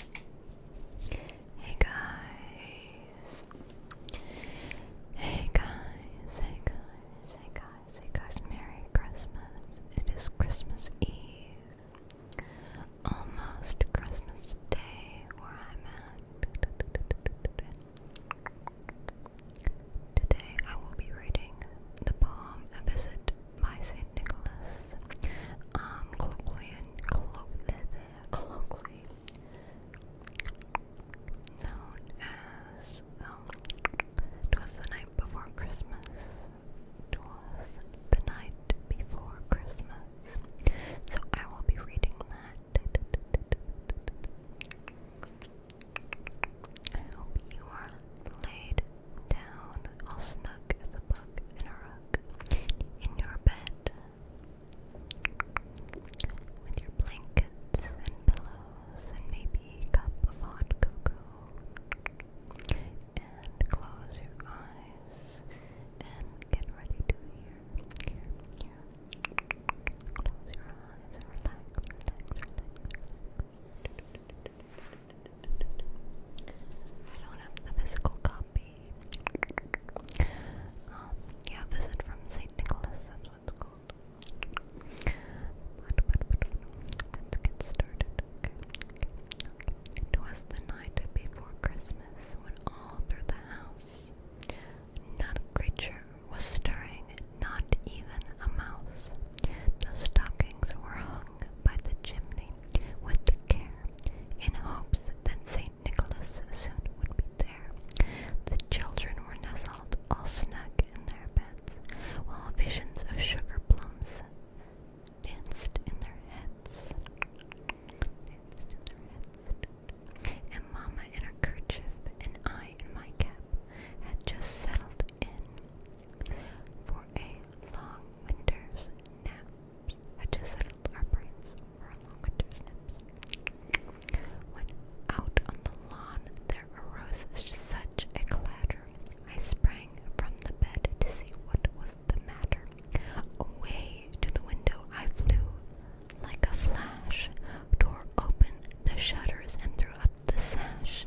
Hey guys. Hey guys, hey guys, hey guys, Merry Christmas. It is Christmas Eve. Almost Christmas Day where I'm at. Today I will be reading the poem A Visit by St. Nicholas, um, colloquially, colloquially known as, um, Twas the Night Before Christmas, Twas the Night Before Christmas. So I will be reading that. I hope you are laid down, all snug as in a rug, in your bed, with your blankets and pillows, and maybe a cup of hot cocoa, and close your eyes, and get ready to hear, hear, hear. Close your eyes relax, relax, relax. I don't have the physical copy. Um, yeah, visit from St. Nicholas, that's what called. let's get started. It was the night before Christmas when all through the house not a creature was stirring, not even a mouse. The stockings were hung by the chimney with care, in hopes that St. Nicholas soon would be there. The children were nestled all snug in their beds, while visions of sugar plums Danced in their heads. And Mamma in her kerchief and I in my cap had just settled in. For a long winter's nap. Had to settle our brains for a long winter's nap. When out on the lawn there arose such a clatter, I sprang from the bed to see what was the matter. Away to the window I flew like a flash, tore open the shutters, and threw up the sash,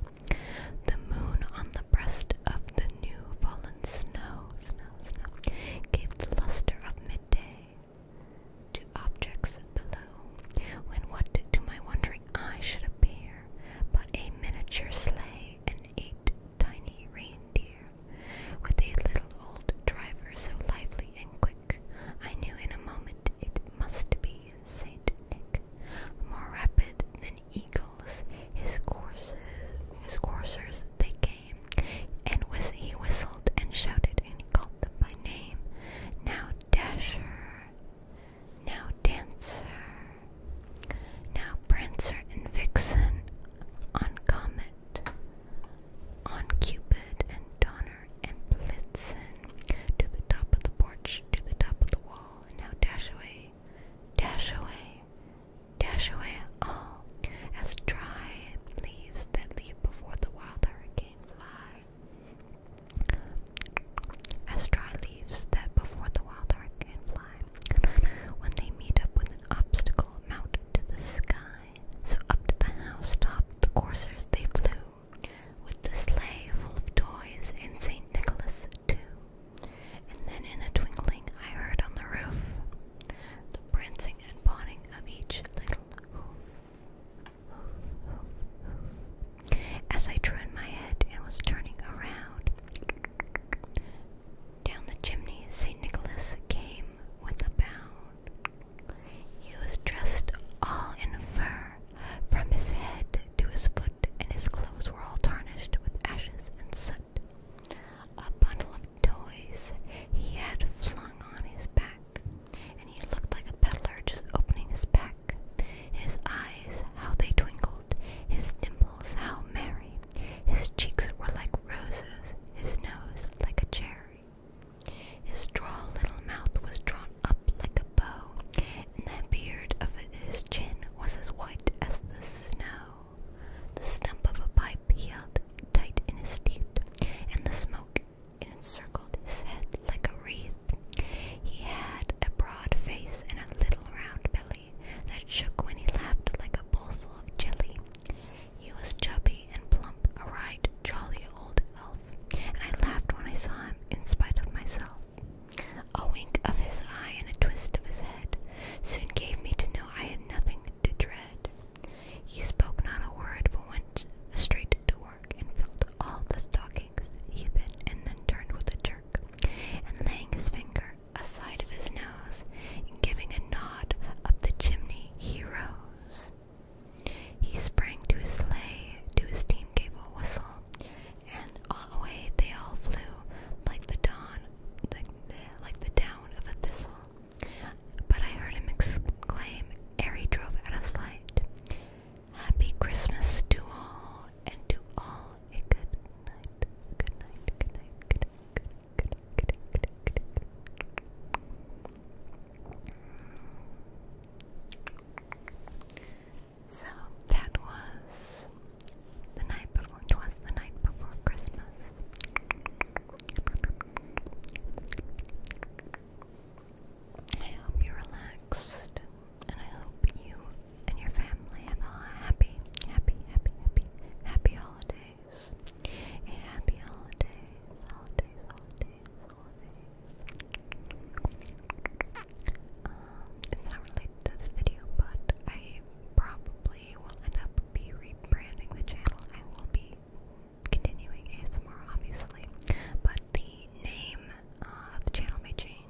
the moon on the breast of the new fallen snow, gave the luster of midday to objects below, when what to my wondering eye should appear but a miniature sleigh and eight tiny reindeer, with a little old driver so lively and quick, I knew in a moment it must be Saint Nick, more rapid than eagles, his courses, his coursers they came, and he whistled and shouted, and he called them by name. Now Dasher, now Dancer, now Prancer and Vixen, on Comet, on Cupid and Donner. Donner and Blitzen to the top of the porch, to the top of the wall, and now dash away, dash away, dash away all as dry leaves that leave before the wild hurricane fly. As dry leaves that before the wild hurricane fly. When they meet up with an obstacle, mount to the sky. So up to the housetop the coursers they flew, with the sleigh full of toys and St. Nicholas too. And then in a twinkling I heard on the roof the prancing and pawing of each little hoof, hoof, hoof, hoof. As I turned my head and was turning around, down the chimney St. Nicholas came with a bound. He was dressed all in fur, from his head to his foot, and his clothes were all tarnished with ashes and soot. A bundle of toys he had flung on his back, and he looked like a peddler just opening his pack. His eyes, how they twinkled, his dimples, how merry, his cheeks were like roses, his nose like a cherry. His straw little mouth was drawn up like a bow, and the beard of his chin was as white as the snow. The stump of a pipe he held tight in his teeth, and the smoke encircled his head like a wreath. He had a broad face and a little round belly that shook when he laughed like a bowl full of jelly. He was chubby and plump, a right jolly old elf, and I laughed when I saw him in spite of myself. A wink of his eye and a twist of his head soon gave me to know I had nothing to dread. He spoke not a word, but went straight to work and filled all the stockings, he then and then turned with a jerk, and laying his finger a side of his nose, and giving a nod up the chimney, he rose. He sprang to his sleigh, to his team gave a whistle, and away they all flew like the dawn, like the, like down of a thistle. But I heard him exclaim, ere he drove out of sight, "Happy Christmas to all, and to all a good night, good night, good night, good night, good night." So that was the night before. It was the night before Christmas. I hope you're relaxed, and I hope you and your family have a happy, happy, happy, happy, happy holidays. A happy holidays, holidays, holidays, holidays. Um, it's not related to this video, but I probably will end up be rebranding the channel. I will be continuing ASMR, obviously, but the name uh, of the channel may change.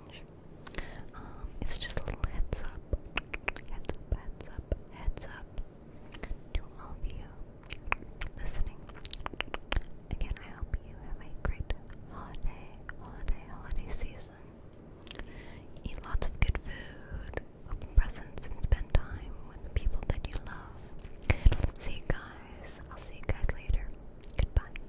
Um, it's just a little heads up, heads up, heads up, heads up to all of you listening. Again, I hope you have a great holiday, holiday, holiday season. Eat lots of good food, open presents, and spend time with the people that you love. See you guys. I'll see you guys later. Goodbye.